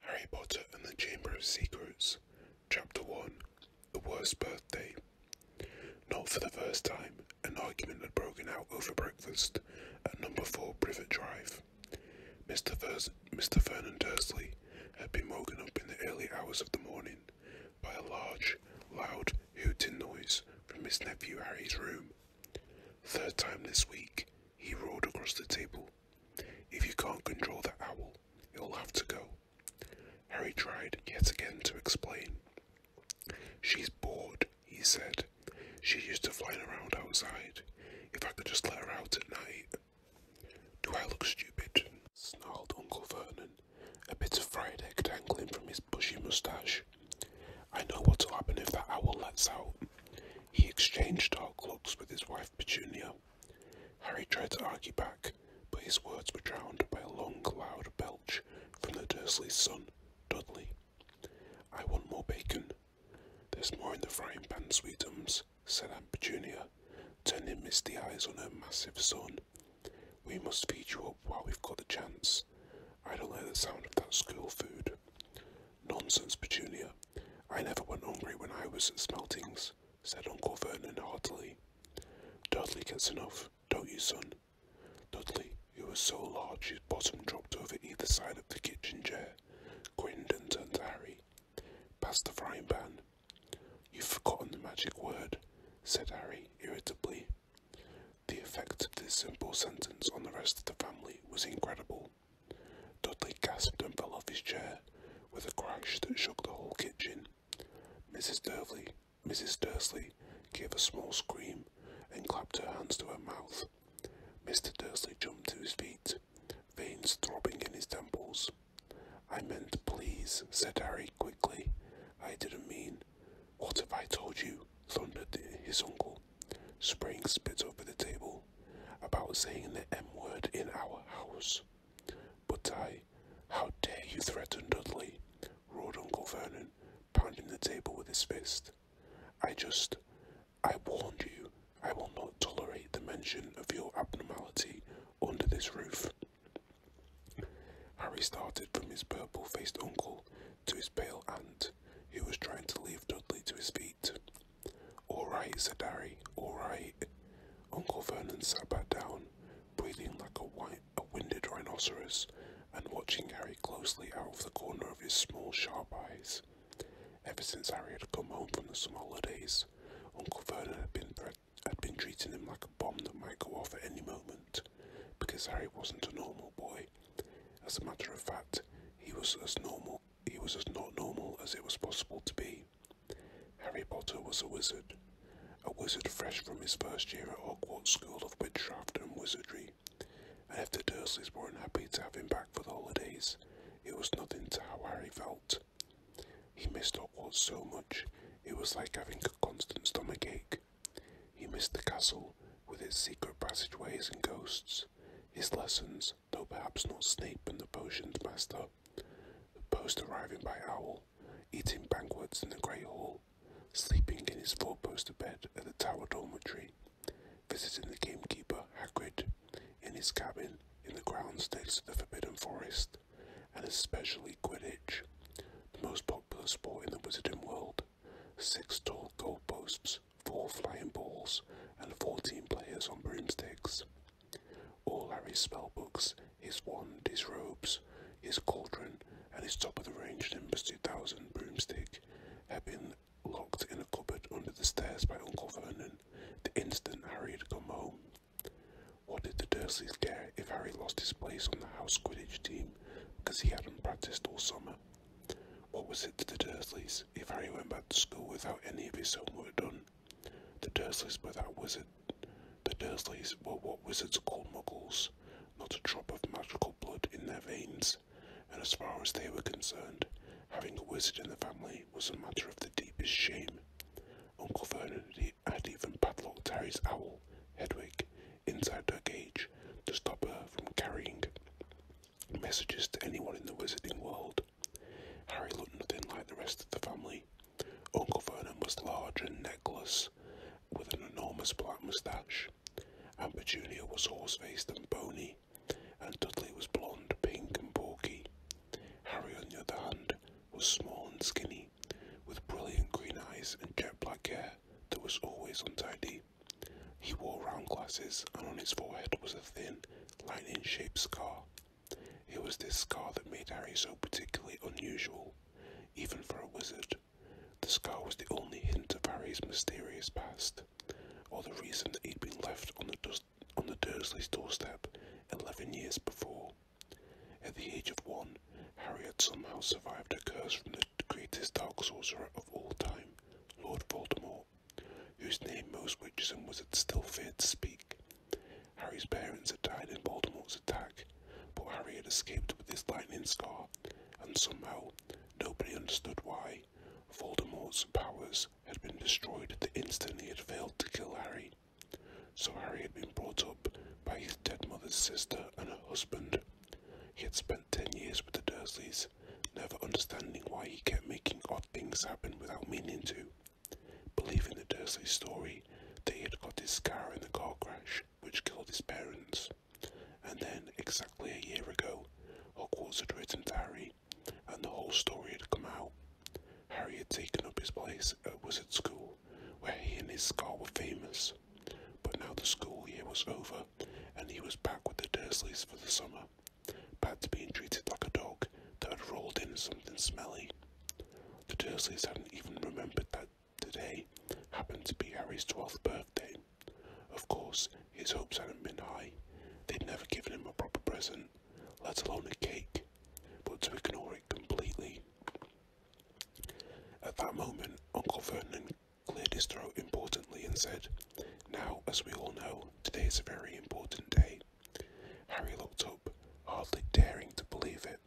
Harry Potter and the Chamber of Secrets, Chapter 1 The Worst Birthday. Not for the first time, an argument had broken out over breakfast at number 4 Privet Drive. Mr. Mr. Vernon Dursley had been woken up in the early hours of the morning by a large, loud hooting noise from his nephew Harry's room. Third time this week, he rolled across the table if you can't control the owl, it'll have to go. Harry tried yet again to explain. She's bored, he said. She used to fly around outside. If I could just let her out at night. Do I look stupid? snarled Uncle Vernon, a bit of fried egg dangling from his bushy moustache. I know what'll happen if that owl lets out. He exchanged dark looks with his wife Petunia. Harry tried to argue back, but his words were drowned by a long, loud belch from the Dursley's son, Dudley. I want more bacon. There's more in the frying pan, sweetums, said Aunt Petunia, turning misty eyes on her massive son. We must feed you up while we've got the chance. I don't like the sound of that school food. Nonsense, Petunia, I never went hungry when I was at Smeltings, said Uncle Vernon heartily. Dudley gets enough, don't you, son? Dudley, who was so large his bottom dropped over either side of the kitchen chair, grinned and turned to Harry. Pass the frying pan. You've forgotten the magic word, said Harry irritably. The effect of this simple sentence on the rest of the family was incredible. Dudley gasped and fell off his chair with a crash that shook the whole kitchen. Mrs. Dursley, Mrs. Dursley gave a small scream and clapped her hands to her mouth. Mr. Dursley jumped to his feet, veins throbbing in his temples. I meant please, said Harry quickly. I didn't mean. What have I told you? thundered his uncle. Spraying spit over the table about saying the M word in our house. But I, how dare you threaten Dudley? roared Uncle Vernon, pounding the table with his fist. I just, I warned you, I will not tolerate the mention of your abnormality under this roof. Harry started from his purple faced uncle to his pale aunt, who was trying to leave Dudley to his feet. Alright, said Harry, alright. Uncle Vernon sat back down, breathing like a, white, a winded rhinoceros and watching Harry closely out of the corner of his small, sharp eyes. Ever since Harry had come home from the summer holidays, Uncle Vernon had been, had been treating him like a bomb that might go off at any moment, because Harry wasn't a normal boy. As a matter of fact, he was as normal he was as not normal as it was possible to be. Harry Potter was a wizard, a wizard fresh from his first year at Hogwarts School of Witchcraft and Wizardry, and if the Dursleys were unhappy to have him back for the holidays, it was nothing to how Harry felt. He missed Hogwarts so much, it was like having a constant stomach ache. He missed the castle, with its secret passageways and ghosts, his lessons, though perhaps not Snape and the potions master. Post arriving by owl, eating banquets in the great hall, sleeping in his four-poster bed at the tower dormitory, visiting the gamekeeper Hagrid in his cabin in the grounds next to the Forbidden Forest, and especially Quidditch, the most popular sport in the wizarding world six tall goalposts, four flying balls, and fourteen players on broomsticks. All Harry's spellbooks, his wand, his robes, his cauldron, and his top of the range Nimbus 2000 broomstick had been locked in a cupboard under the stairs by Uncle Vernon the instant Harry had come home. What did the Dursleys get if Harry lost his place on the house Quidditch team because he hadn't practiced all summer? What was it to the Dursleys? if Harry went back to school without any of his homework done, the Dursleys were that wizard. The Dursleys were what wizards call muggles, not a drop of magical blood in their veins, and as far as they were concerned, having a wizard in the family was a matter of the deepest shame. Uncle Vernon had even padlocked Harry's owl, Hedwig, inside her cage to stop her from carrying messages to anyone in the wizarding world. Harry looked nothing like the rest of the family. Uncle Vernon was large and neckless, with an enormous black moustache. and Junior was horse-faced and bony, and Dudley was blond, pink and porky. Harry, on the other hand, was small and skinny, with brilliant green eyes and jet black hair that was always untidy. He wore round glasses, and on his forehead was a thin, lightning shaped scar. It was this scar that made Harry so particularly unusual, even for a wizard. The scar was the only hint of Harry's mysterious past, or the reason he'd been left on the Dursleys' doorstep eleven years before. At the age of one, Harry had somehow survived a curse from the the greatest dark sorcerer of all time, Lord Voldemort, whose name most witches and wizards still feared to speak. Harry's parents had died in Voldemort's attack, but Harry had escaped with his lightning scar, and somehow, nobody understood why, Voldemort's powers had been destroyed the instant he had failed to kill Harry. So Harry had been brought up by his dead mother's sister and her husband. He had spent 10 years with the Dursleys, never understanding why he kept making odd things happen without meaning to. Believing the Dursleys' story, that he had got his scar in the car crash, which killed his parents. And then, exactly a year ago, Hogwarts had written Harry, and the whole story had come out. Harry had taken up his place at Wizard School, where he and his scar were famous. But now the school year was over, and he was back with the Dursleys for the summer, to being treated like a dog that had rolled in something smelly. The Dursleys hadn't even remembered that today happened to be Harry's 12th birthday. Of course, his hopes hadn't been high. They'd never given him a proper present, let alone a cake, but to ignore it completely. At that moment, Uncle Vernon cleared his throat importantly and said, Now, as we all know, today is a very important day. Harry looked up, hardly daring to believe it.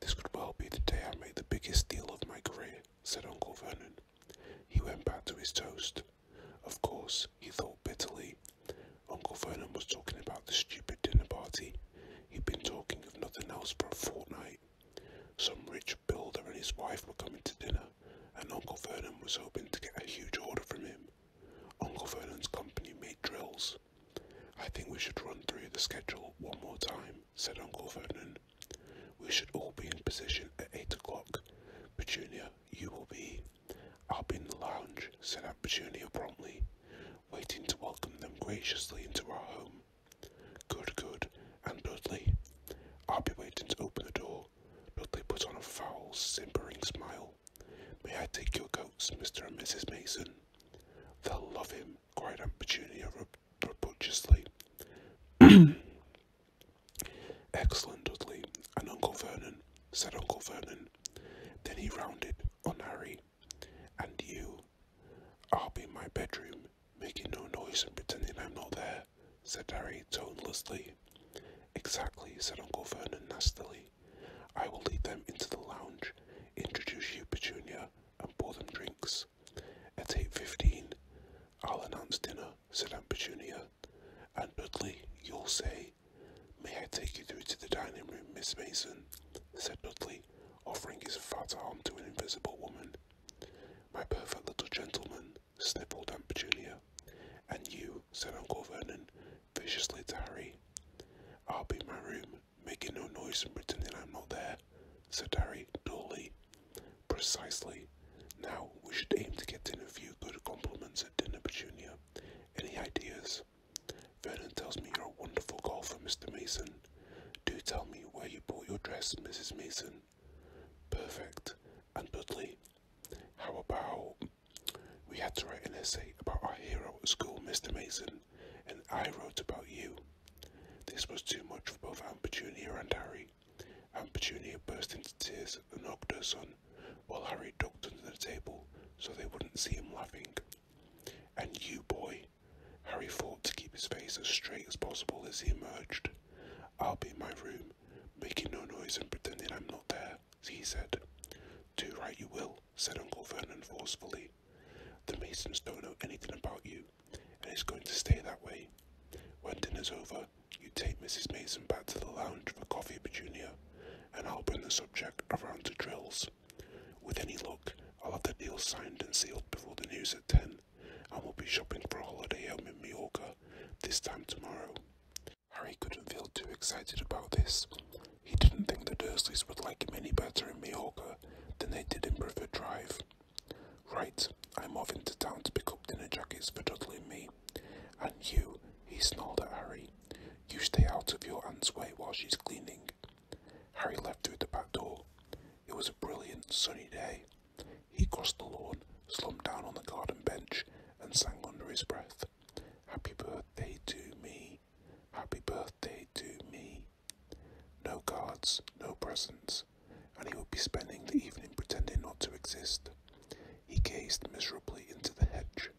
This could well be the day I make the biggest deal of my career, said Uncle Vernon. He went back to his toast. Of course, he thought bitterly. Uncle Vernon was talking about the stupid dinner party. He'd been talking of nothing else for a fortnight. Some rich builder and his wife were coming to dinner, and Uncle Vernon was hoping to get a huge order from him. Uncle Vernon's company made drills. I think we should run through the schedule one more time, said Uncle Vernon. We should all be in position at eight o'clock. Petunia, you will be. I'll be in the lounge, said Aunt Petunia promptly, waiting to welcome them graciously into our home. Good, good, and Dudley? I'll be waiting to open the door. Dudley put on a foul, simpering smile. May I take your coats, Mr. and Mrs. Mason? They'll love him, cried Aunt Petunia rapaciously. Excellent, Dudley, and Uncle Vernon, said Uncle Vernon. Then he rounded on Harry. And you. I'll be in my bedroom making no noise and pretending I'm not there, said Harry tonelessly. Exactly, said Uncle Vernon nastily. I will lead them into the lounge, introduce you, Petunia, and pour them drinks. At eight fifteen, I'll announce dinner, said Aunt Petunia. And Dudley, you'll say, May I take you through to the dining room, Miss Mason? said Dudley, offering his fat arm to an invisible woman my perfect little gentleman, sniffled Aunt Petunia. And you, said Uncle Vernon, viciously to Harry. I'll be in my room, making no noise and pretending I'm not there, said Harry dully. Precisely. Now we should aim to get in a few good compliments at dinner, Petunia. Any ideas? Vernon tells me you're a wonderful golfer, Mr. Mason. Do tell me where you bought your dress, Mrs. Mason. Perfect. And Dudley, how about we had to write an essay about our hero at school, Mr. Mason, and I wrote about you. This was too much for both Aunt Petunia and Harry. Aunt Petunia burst into tears and hugged her son, while Harry ducked under the table so they wouldn't see him laughing. And you, boy, Harry fought to keep his face as straight as possible as he emerged. I'll be in my room, making no noise and pretending I'm not there, he said. Do right you will, said Uncle Vernon forcefully. The Masons don't know anything about you, and it's going to stay that way. When dinner's over, you take Mrs. Mason back to the lounge for coffee, Petunia, and I'll bring the subject around to drills. With any luck, I'll have the deal signed and sealed before the news at ten, I will be shopping for a holiday home in Mallorca this time tomorrow. Harry couldn't feel too excited about this. He didn't think the Dursleys would like him any better in Mallorca than they did in Bruford Drive. Right, I'm off into town to pick up dinner jackets for Dudley and me. And you, he snarled at Harry, you stay out of your aunt's way while she's cleaning. Harry left through the back door. It was a brilliant sunny day. He crossed the lawn, slumped down on the garden bench, and sang under his breath. Happy birthday to me. Happy birthday to me. No cards, no presents, and he would be spending the evening pretending not to exist. He gazed miserably into the hedge.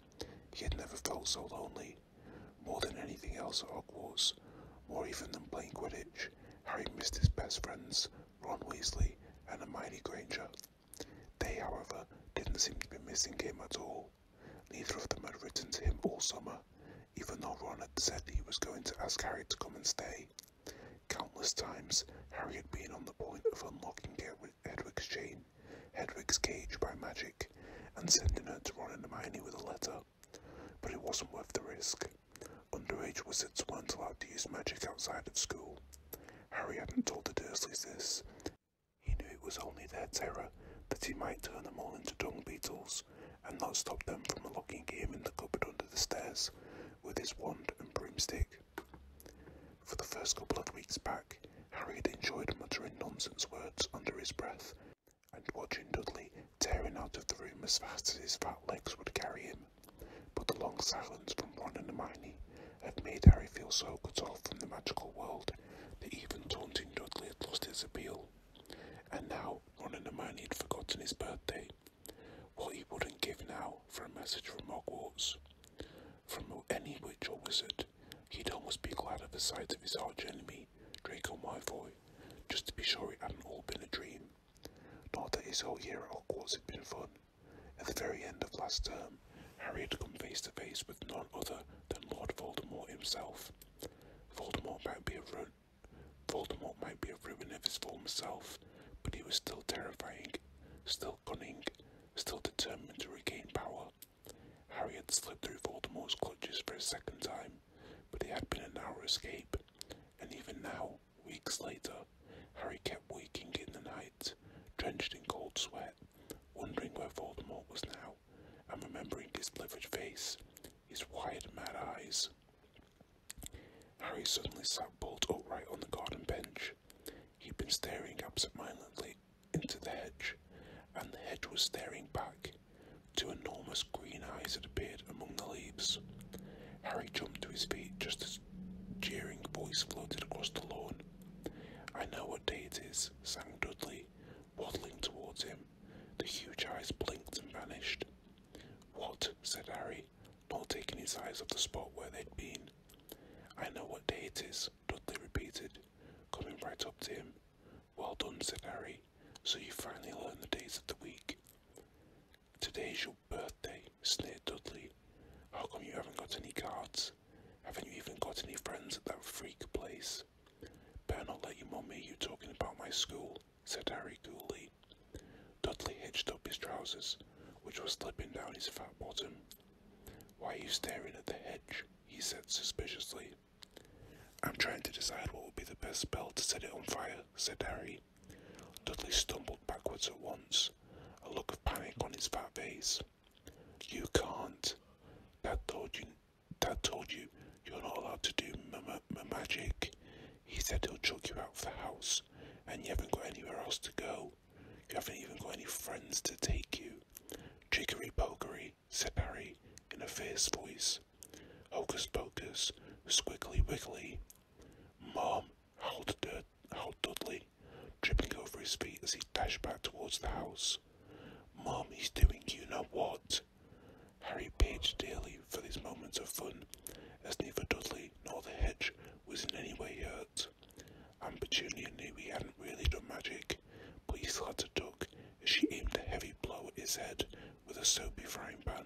He had never felt so lonely, more than anything else at Hogwarts, more even than playing Quidditch. Harry missed his best friends, Ron Weasley and Hermione Granger. They, however, didn't seem to be missing him at all. Neither of them had written to him all summer, even though Ron had said he was going to ask Harry to come and stay. Countless times, Harry had been on the point of unlocking Hedwig's chain, Hedwig's cage by magic, and sending her to Ron and Hermione with a letter but it wasn't worth the risk. Underage wizards weren't allowed to use magic outside of school. Harry hadn't told the Dursleys this. He knew it was only their terror that he might turn them all into dung beetles and not stop them from locking him in the cupboard under the stairs with his wand and broomstick. For the first couple of weeks back, Harry had enjoyed muttering nonsense words under his breath and watching Dudley tearing out of the room as fast as his fat legs would carry him. But the long silence from Ron and Hermione had made Harry feel so cut off from the magical world that even taunting Dudley had lost his appeal. And now Ron and Hermione had forgotten his birthday. What he wouldn't give now for a message from Hogwarts. From any witch or wizard, he'd almost be glad of the sight of his arch enemy me, my Malfoy, just to be sure it hadn't all been a dream. Not that his whole year at Hogwarts had been fun. At the very end of last term, Harry had come face to face with none other than Lord Voldemort himself. Voldemort might be a ruin. Voldemort might be a ruin of his former self, but he was still terrifying, still cunning, still determined to regain power. Harry had slipped through Voldemort's clutches for a second time, but it had been a narrow escape, and even now, weeks later, Harry kept waking in the night, drenched in cold sweat, wondering where Voldemort was now, and remembering his livid face, his wide, mad eyes. Harry suddenly sat bolt upright on the garden bench. He'd been staring absentmindedly into the hedge, and the hedge was staring back. Two enormous green eyes had appeared among the leaves. Harry jumped to his feet just as a jeering voice floated across the lawn. I know what day it is, sang Dudley, waddling towards him. The huge eyes blinked and vanished. What? said Harry, not taking his eyes off the spot where they'd been. I know what day it is, Dudley repeated, coming right up to him well done, said Harry. So you finally learned the days of the week. Today's your birthday, sneered Dudley. How come you haven't got any cards? Haven't you even got any friends at that freak place? Better not let your mum hear you talking about my school, said Harry coolly. Dudley hitched up his trousers, which were slipping down his fat bottom. Why are you staring at the hedge? he said suspiciously. I'm trying to decide what will be the best spell to set it on fire, said Harry. Dudley stumbled backwards at once, a look of panic on his fat face. You can't. Dad told you, Dad told you you're not allowed to do magic. He said he'll chuck you out of the house, and you haven't got anywhere else to go. You haven't even got any friends to take you. Trickery, pokery, said Harry in a fierce voice. Hocus pocus, squiggly wiggly. Mom, howled, Dur- howled Dudley, tripping over his feet as he dashed back towards the house. Mom, he's doing you know what? Harry pitched dearly for these moments of fun, as neither Dudley nor the hedge was in any way hurt. And Petunia he hadn't really done magic, but he still had to duck she aimed a heavy blow at his head with a soapy frying pan.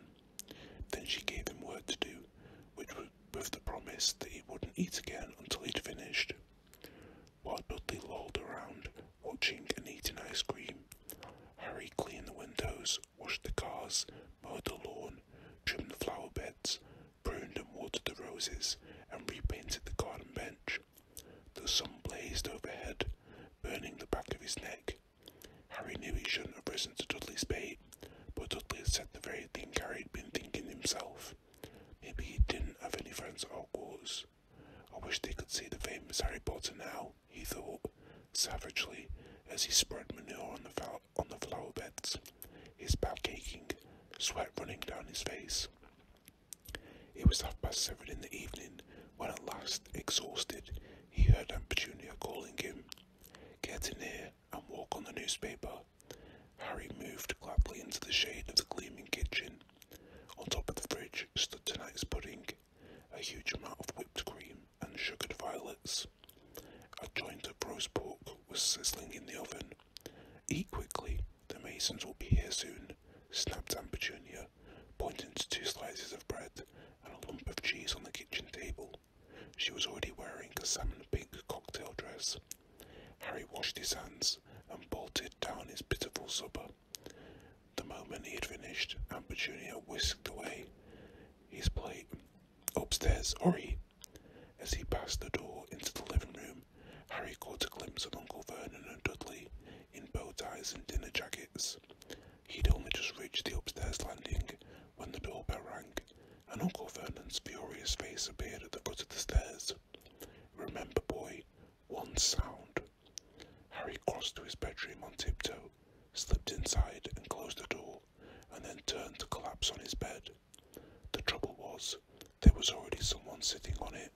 Then she gave him work to do, which was with the promise that he wouldn't eat again until he'd finished. While Dudley lolled around, watching and eating ice cream, Harry cleaned the windows, washed the cars, mowed the lawn, trimmed the flower beds, pruned and watered the roses, and repainted the garden bench. The sun blazed overhead, burning the back of his neck. Harry knew he shouldn't have risen to Dudley's bait, but Dudley had said the very thing Harry had been thinking himself. Maybe he didn't have any friends at Hogwarts. I wish they could see the famous Harry Potter now, he thought, savagely, as he spread manure on the, on the flower beds, his back aching, sweat running down his face. It was half past seven in the evening when at last, exhausted, he heard Aunt Petunia calling him. Get in here and walk on the newspaper. Harry moved gladly into the shade of the gleaming kitchen. On top of the fridge stood tonight's pudding, a huge amount of whipped cream and sugared violets. A joint of roast pork was sizzling in the oven. Eat quickly, the masons will be here soon, snapped Aunt Petunia pointing to two slices of bread and a lump of cheese on the kitchen table. She was already wearing a salmon pink cocktail dress. Harry washed his hands and bolted down his pitiful supper. The moment he had finished, Amber whisked away his plate. Upstairs, hurry! As he passed the door into the living room, Harry caught a glimpse of Uncle Vernon and Dudley in bow ties and dinner jackets. He'd only just reached the upstairs landing when the doorbell rang, and Uncle Vernon's furious face appeared at the foot of the stairs. Remember, boy, one sound. Harry crossed to his bedroom on tiptoe, slipped inside and closed the door, and then turned to collapse on his bed. The trouble was, there was already someone sitting on it.